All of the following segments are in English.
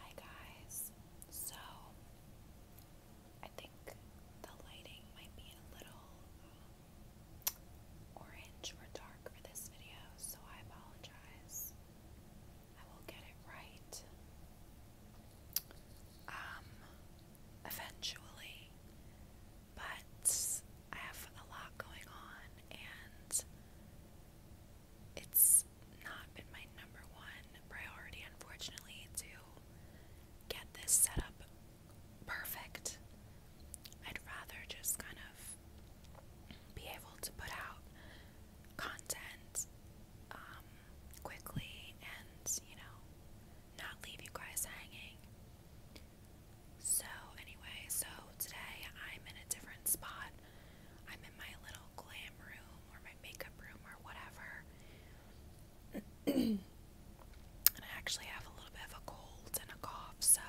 Hi guys. So I think the lighting might be a little um, orange or dark for this video, so I apologize. I will get it right. Um, eventually. But I have a lot going on and it's not been my number one priority, unfortunately, to get this set up perfect. I'd rather just kind of be able to put out content um, quickly and, you know, not leave you guys hanging. So, anyway, so today I'm in a different spot. I'm in my little glam room or my makeup room or whatever. and I actually have a little bit of a cold and a cough, so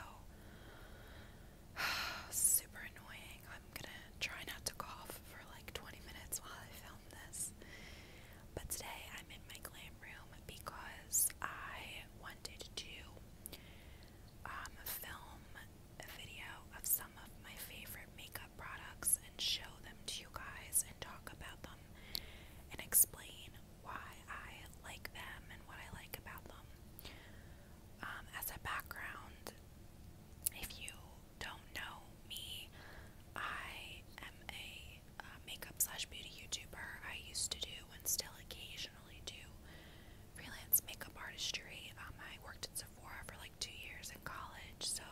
super annoying. I'm gonna try not to cough for like 20 minutes while I film this. But today I'm in my glam room because I wanted to um, film a video of some of my favorite makeup products and show them to you guys and talk about them and explain why I like them and what I like about them. Um, as a background, if you don't know me, I am a uh, makeup slash beauty YouTuber. I used to do and still occasionally originally do freelance makeup artistry. Um, I worked in Sephora for like two years in college, so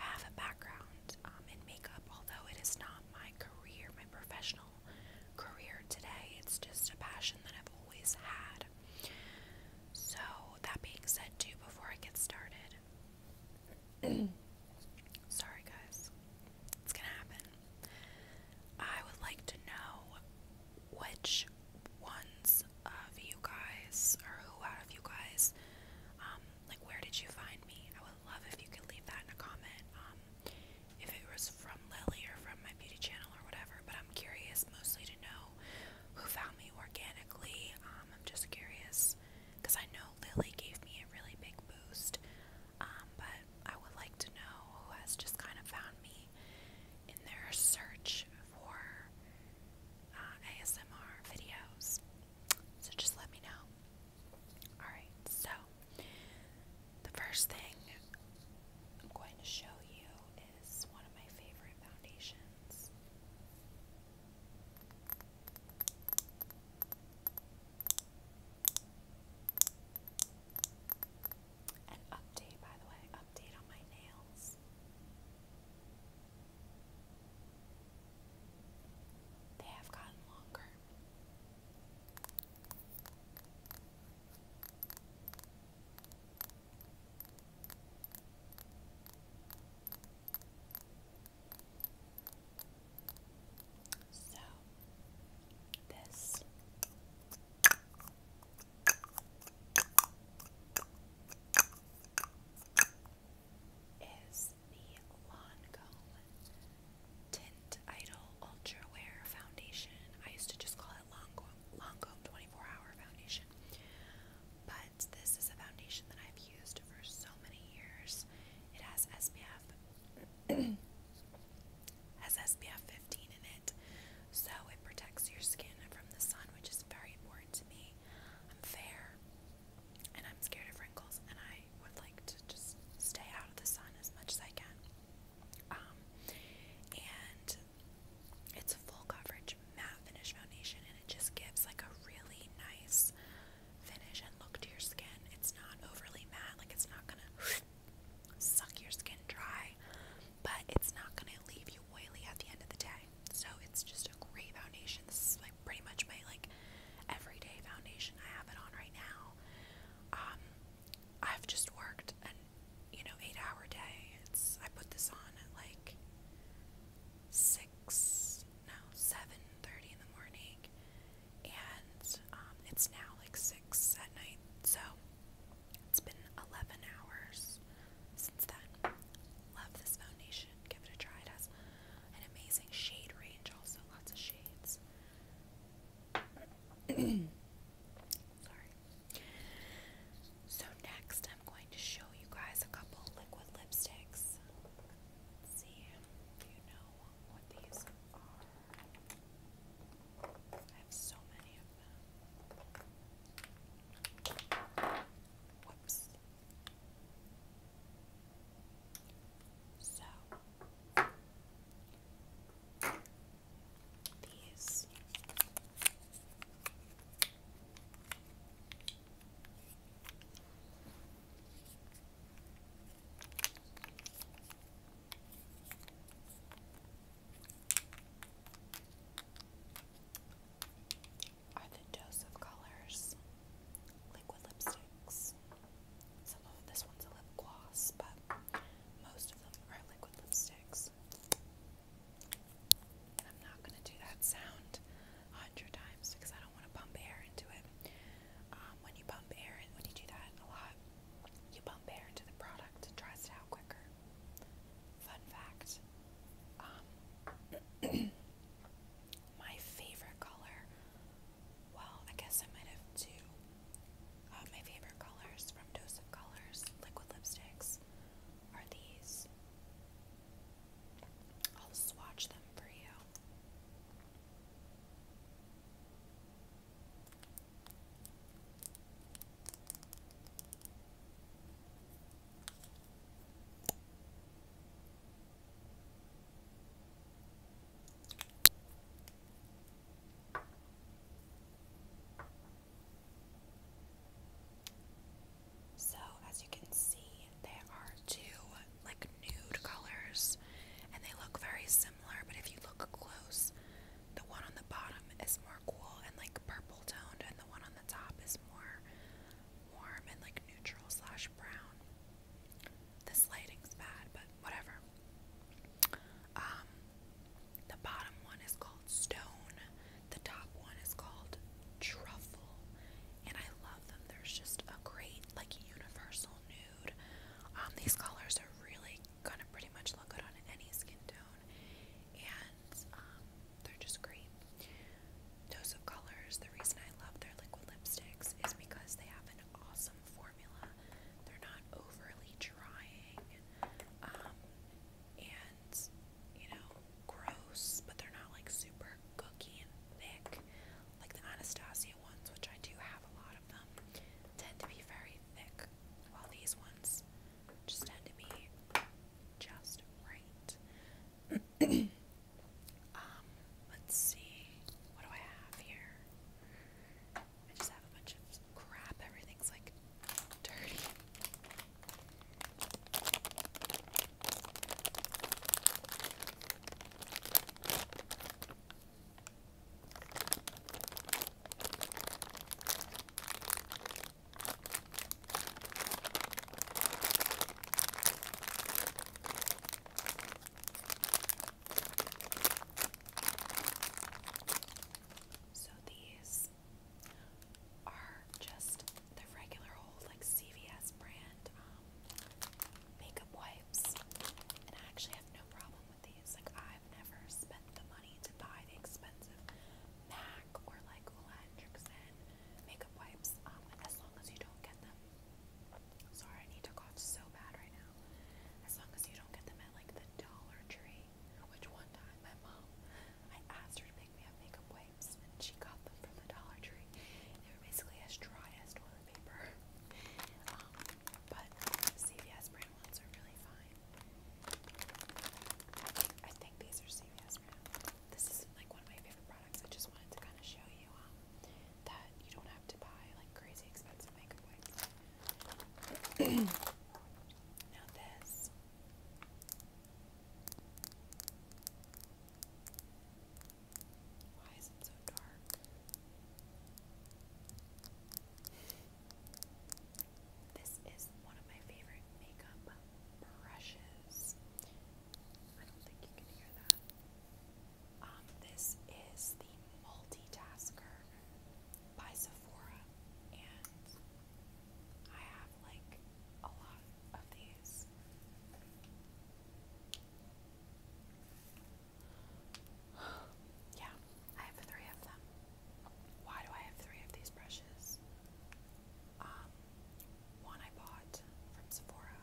I have a background um, in makeup, although it is not my career, my professional career today. It's just a passion that I've always had. So, that being said, too, before I get started, sorry guys, it's gonna happen. I would like to know which ones of you guys, or who out of you guys, um, like where did you find me? I would love if you could leave that in a comment. Um, if it was from Lily or from my beauty channel or whatever, but I'm curious mostly to know who found me organically. Um, I'm just curious because I know Lily gave me a really big boost, um, but I would like to know who has just kind of found me in their search for uh, ASMR videos. So just let me know. Alright, so the first thing I'm going to show you is one of my favorite foundations. An update, by the way, update on my nails. They have gotten longer. So, this is the Lancome Tint Idol Ultra Wear Foundation. I used to just call it Lancome, Lancome 24 Hour Foundation. But this is a foundation that I've used for so many years. It has SPF. has SPF 15 in it, so it protects your skin from the sun, which is very important to me. I'm fair and I'm scared of wrinkles, and I would like to just stay out of the sun as much as I can. Um, and it's a full coverage matte finish foundation, and it just gives like a really nice finish and look to your skin. It's not overly matte, like it's not gonna suck your skin dry, but it's not going to leave you oily at the end of the day. So it's just a great foundation. This is like pretty much my like everyday foundation. I have it on right now. Um, I've just worked an you know eight hour day. It's I put this on at like six no seven thirty in the morning, and um, it's now like six at night. So it's been 11 hours since then. Love this foundation. Give it a try. It has an amazing shade range, also lots of shades. Sorry. So next, I'm going to show you guys a couple liquid lipsticks. see if you know what these are. I have so many of them. So these are the Joseph Colors liquid lipsticks. this one's a lip gloss, but most of them are liquid lipsticks. I'm not going to do that sound a hundred times because I don't want to pump air into it. Um, when you pump air, when you do that a lot, you bump compare to the product and tries it out quicker. Fun fact um, my favorite color, well, I guess I might have two. Uh, my favorite colors from Dose of Colors liquid lipsticks are these. I'll swatch them for you. So, as you can see, there are two like nude colors and they look very similar, but if you look close, the one on the bottom is more cool and like purple toned, and the one on the top is more warm and like neutral slash brown. This lighting's bad, but whatever. Um, the bottom one is called Stone, the top one is called Truffle, and I love them. There's just a great, like, universal nude. Um, these colors are really gonna pretty much look good on any skin tone, and um, they're just great. Dose of Colors, the reason I love their liquid lipsticks is because they have an awesome formula. They're not overly drying um, and, you know, gross, but they're not like super gooky and thick like the Anastasia ones, which I do have a lot tend to be very thick, while these ones just tend to be just right. Um, let's see. What do I have here? I just have a bunch of crap. Everything's like dirty. So these are just the regular old like CVS brand um, makeup wipes, and I actually have no problem with these. Like I've never spent the money to buy the expensive MAC or like Ola Hendrickson makeup wipes. Um, as long as you don't get them. Sorry, I need to cough so bad right now. As long as you don't get them at like the Dollar Tree, which one time my mom, I asked her to make me up makeup wipes, and she got them from the Dollar Tree. They were basically as dry as toilet paper. Um, but CVS brand ones are really fine. I think, these are CVS brand. This is like one of my favorite products. I just wanted to kind of show you um, that you don't have to buy like crazy expensive makeup wipes. now this. Why is it so dark? This is one of my favorite makeup brushes. I don't think you can hear that. Um, this is the Multitasker by Sephora, and I have like a lot of these yeah, I have three of them. Why do I have three of these brushes? Um, one I bought from Sephora.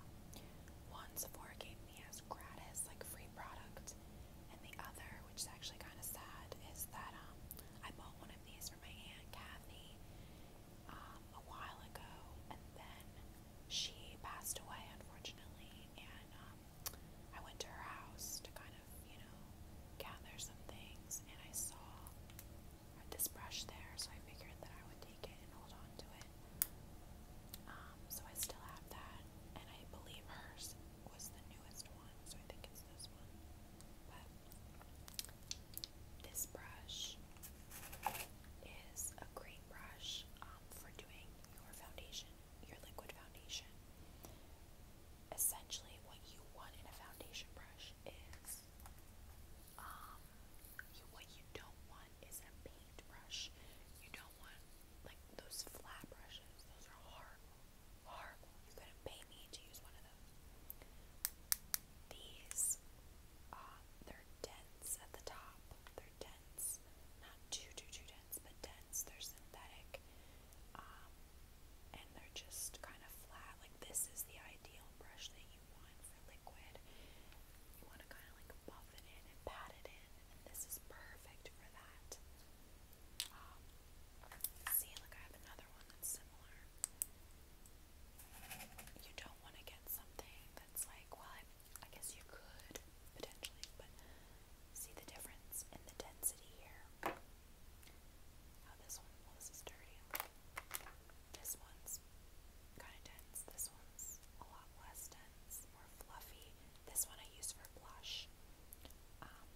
One Sephora gave me as gratis, like free product. And the other, which is actually kind of sad, is that um, I bought one of these for my aunt Kathy um, a while ago, and then she passed away, unfortunately. And um, I went to her house to kind of, you know, gather some things, and I saw this brush there, so I figured that I would take it and hold on to it. Um, so I still have that, and I believe hers was the newest one, so I think it's this one. But this brush is a great brush um, for doing your foundation your liquid foundation. Essentially, what you want in a foundation brush is, um, you, what you don't want is a paint brush. You don't want like those flat brushes. Those are hard, horrible. You couldn't pay me to use one of those. These, uh, they're dense at the top. They're dense dense, not too too too dense, but dense. They're synthetic, um, and they're just kind of flat. Like this is the ideal brush that you want for liquid. You want to kind of like buff it in and pat it in, and this is perfect for that. Um, see, look, I have another one that's similar. You don't want to get something that's like, well, I've I guess you could potentially, but see the difference in the density here. How this one, well, this is dirty. This one's kind of dense. This one's a lot less dense, more fluffy. This one I use for blush. Um,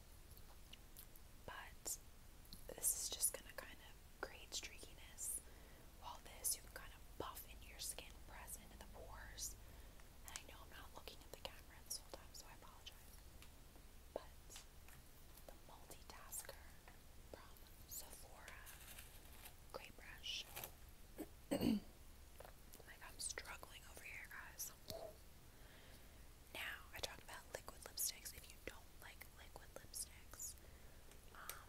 but this is just gonna kind of create streakiness. While this, you can kind of buff into your skin, press into the pores, I know I'm not looking at the camera this whole time, so I apologize. But the multitasker Sephora Great Brush. like I'm struggling over here, guys. Now I talked about liquid lipsticks. If you don't like liquid lipsticks, um,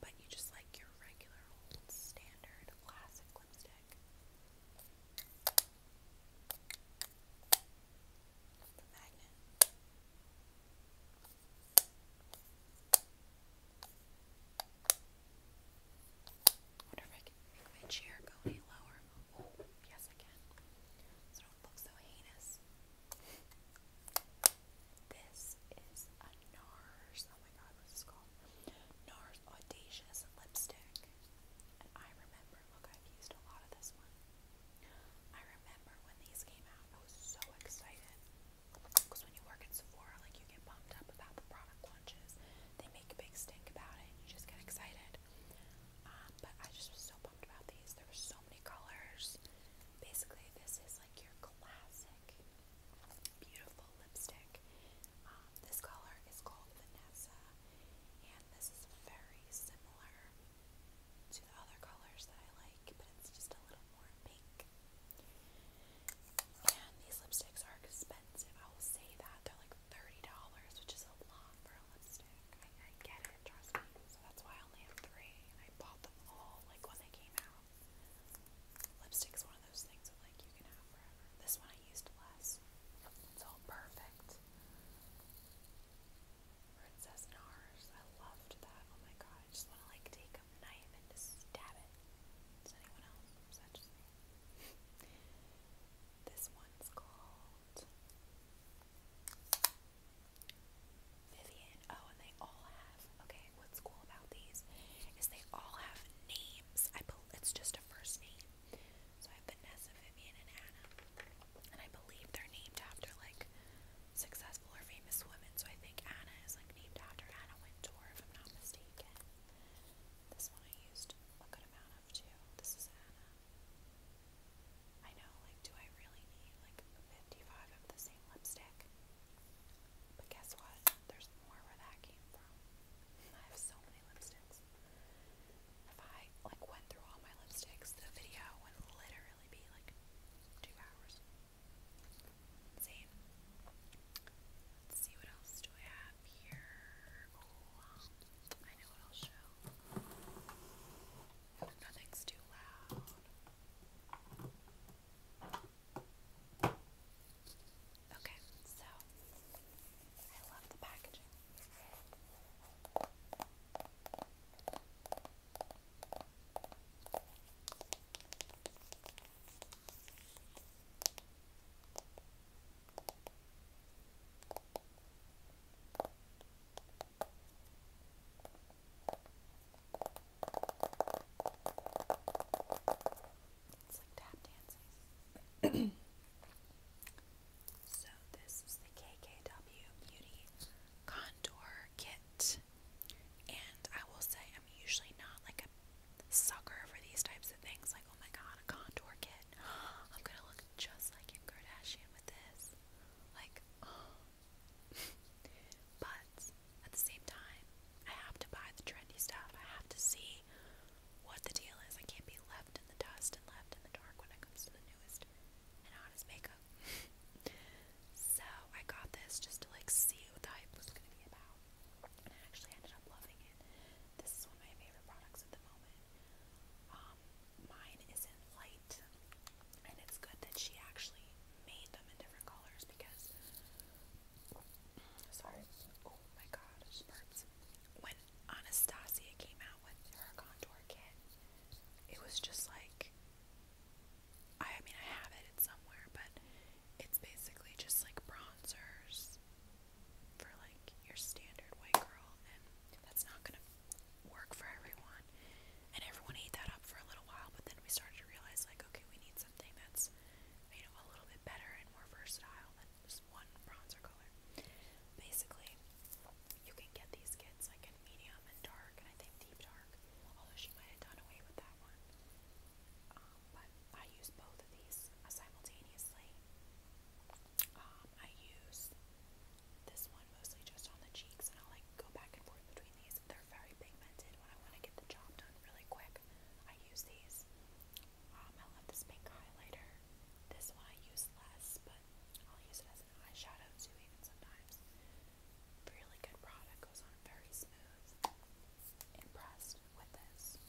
but you just like your regular old standard classic lipstick. The magnet. wonder if I can make my chair lower. Oh, yes I can. So it do so heinous. This is a NARS oh my god, what's this called? NARS Audacious Lipstick. And I remember, look, I've used a lot of this one. I remember when these came out, I was so excited. Because when you work at Sephora, like you get pumped up about the product launches. They make a big stink about it, and you just get excited. Um, but I just was so pumped about these. There were so many colors. Basically, this is like your classic beautiful lipstick. Um, this color is called Vanessa, and this is very similar to the other colors that I like, but it's just a little more pink. And these lipsticks are expensive, I will say that. They're like $30, which is a lot for a lipstick. I, I get it, trust me. So that's why I only have three, and I bought them all like when they came out. Lipstick's one of those things like you can have forever. This one I used less. It's all perfect. Princess Nars. I loved that. Oh my god. just want to like take a knife and just stab it. Does anyone else this one's called Vivian in. Oh, and they all have. Okay, what's cool about these is they all have names. I bel it's just a first name. So I have Vanessa, Vivian, and Anna, and I believe they're named after like successful or famous women. So I think Anna is like named after Anna Wintour, if I'm not mistaken. This one I used a good amount of too. This is Anna. I know, like, do I really need like 55 of the same lipstick? But guess what? There's more where that came from. I have so many lipsticks. If I like went through all my lipsticks, the video would literally be like two hours. Same. Let's see what else do I have here. I know what I'll show. Nothing's too loud. Okay, so I love the packaging. It's like tap dancing. so this is the KKW Beauty Contour Kit. And I will say I'm usually not like a sucker for these types of things. Like, oh my god, a contour kit. I'm gonna look just like Kim Kardashian with this. Like, oh but at the same time, I have to buy the trendy stuff. I have to see what the deal is. I can't be left in the dust and left in the dark when it comes to the newest and hottest makeup. so I got this just to like see what the hype was going to be about. And I actually ended up loving it. This is one of my favorite products at the moment. Um, mine isn't light, and it's good that she actually made them in different colors because Sorry. Oh my god, When Anastasia came out with her contour kit, it was just like I mean I have it it's somewhere, but it's basically just like bronzers for like your standard white girl and that's not gonna work for everyone and everyone ate that up for a little while, but then we started to realize, like, okay, we need something that's, you know, a little bit better and more versatile than just one bronzer color. Basically, you can get these kits, like, in medium and dark, and I think deep dark, although she might have done away with that one. Um, but I use both of these simultaneously. Um, I use this one mostly just on the cheeks, and I'll, like, go back and forth between these are very pigmented when I want to get the job done really quick. I use these. Um, I love this pink highlighter. This one I use less, but I'll use it as an eyeshadow too, even sometimes. Really good product, goes on very smooth. Impressed with this.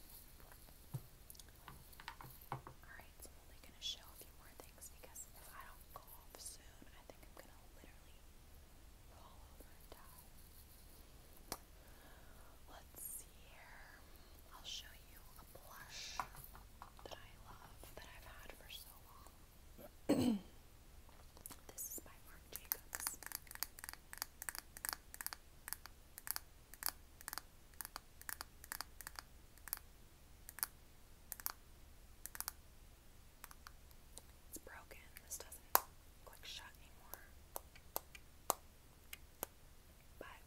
Alright, so I'm only going to show a few more things because if I don't go off soon, I think I'm going to literally roll Let's see I'll show you a blush that I love that I've had for so long. this is by Marc Jacobs. It's broken. This doesn't click shut anymore. But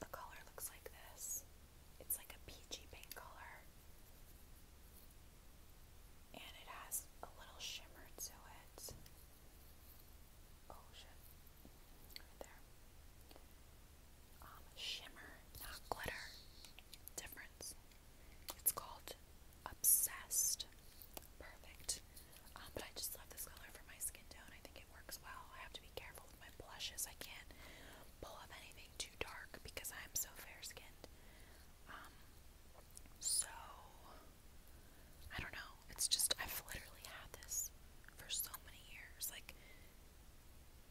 the color looks like this. It's like a peachy pink color. And it has a little shimmer so it's Oh shit. Right there. Um, shimmer, not glitter. Difference. It's called Obsessed. Perfect. Um, but I just love this color for my skin tone. I think it works well. I have to be careful with my blushes. I can't pull up anything too dark because I'm so fair skinned. Um, so, I don't know. It's just, I've literally had this for so many years. Like,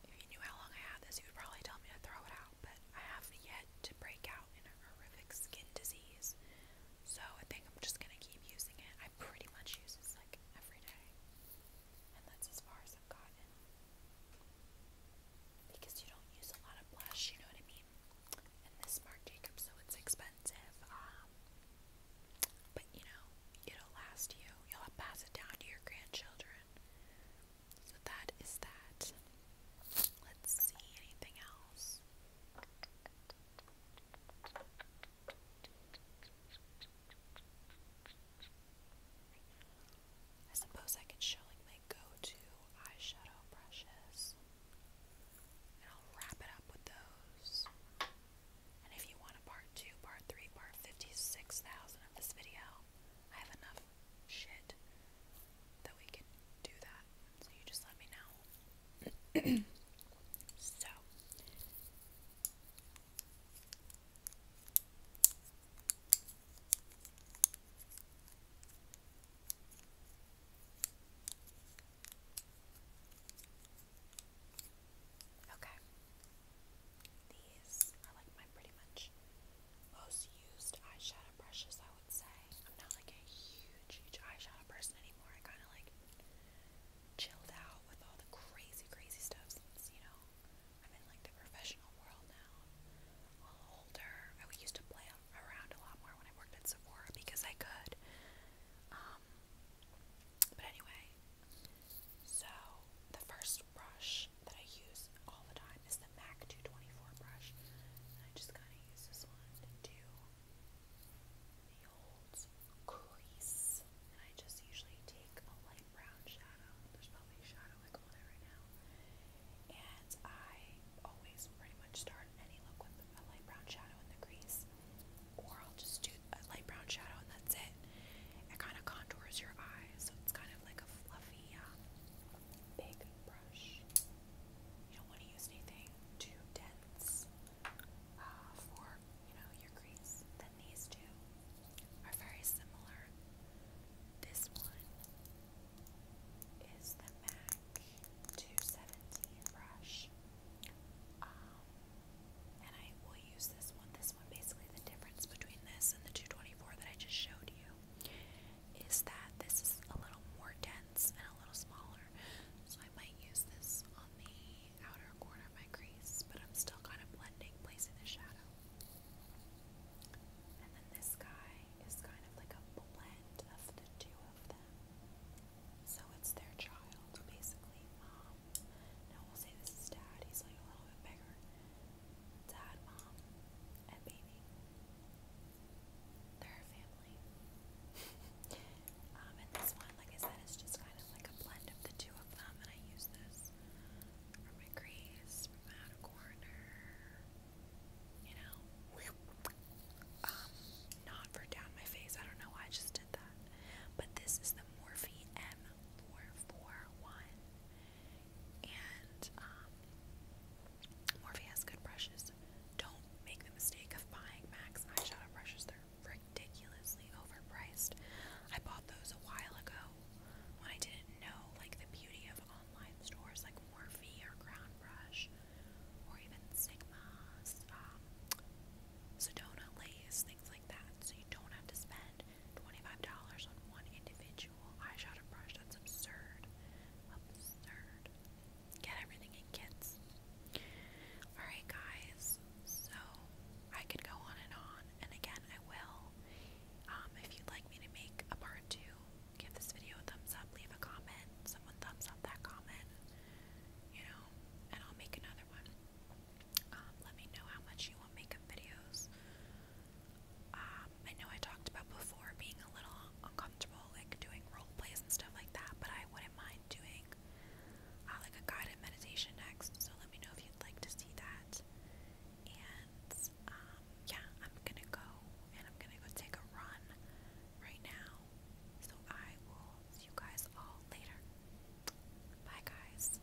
if you knew how long I had this, you would probably tell me to throw it out, but I have yet led to break out in a horrific skin disease. So I think I'm just gonna keep using it. I pretty much use this like every day. And that's as far as I've gotten. Because you don't use a lot of blush, you know what I mean? And this Marc Jacobs, so it's expensive. Um but you know, it'll last you. You'll pass it down to your grandchildren. So that is that. Let's see anything else. I suppose I could show like my go-to eyeshadow brushes. And I'll wrap it up with those. And if you want a part 2, part 3, part 56,000 of this video, I have enough shit that we can do that. So you just let me know. so Okay. These are like my pretty much most used eyeshadow brushes, I would say. I'm not like a huge, huge eyeshadow person anymore. I kind of like chilled out with all the crazy, crazy stuff since, you know, I'm in like the professional world now. I'm a little older. I used to play around a lot more when I worked at Sephora because I could. Um, but anyway, so the first brush that I use all the time is the MAC 224 brush. And I just kind of use this one to do the old crease. And I just usually take a light brown shadow. There's probably a shadow I on it right now. And I always pretty much start any look with a light brown shadow in the crease. Or I'll just do a light brown shadow and that's it. It kind of contours your eyes, so it's kind of like a fluffy, um, big brush. You don't want to use anything too dense uh, for, you know, your crease. Then these two are very similar. This one is the MAC 217 brush. Um, and I will use this one. This one basically the difference between this and the 224 that I just showed you is that this is a little more dense and a little smaller. So I might use this on the outer corner of my crease, but I'm still kind of blending, placing the shadow. And then this guy is kind of like a blend of the two of them. So it's their child, basically. Mom. Um, now we'll say this is dad, he's like a little bit bigger dad, mom, and baby. They're a family. um, and this one, like I said, is just kind of like a blend of the two of them, and I use this for my crease, for outer corner, you know. Um, not for down my face. I don't know why I just did that. But this is the Morphe M441. And um, Morphe has good brushes. Don't make the mistake of buying Max eyeshadow brushes. They're ridiculously overpriced. I bought those a while ago when I didn't know like the beauty of online stores like Morphe or Crown Brush or even Sigma's, um, Sedona Lays, things like that. So you don't have to spend $25 on one individual eyeshadow brush. That's absurd. Absurd. Get everything in kits. Alright, guys. So, I could go on and on, and again, I will. Um, if you'd like me to make a part two, give this video a thumbs up, leave a comment, someone thumbs up that comment, you know, and I'll make another one. Um, let me know how much you want makeup videos. Um, I know I talked about before being a little uncomfortable, like doing role plays and stuff like that, but I wouldn't mind doing uh, like a guided meditation next. So let me know if you'd like to see that. And um, yeah, I'm gonna go and I'm gonna go take a run right now. So I will see you guys all later. Bye, guys.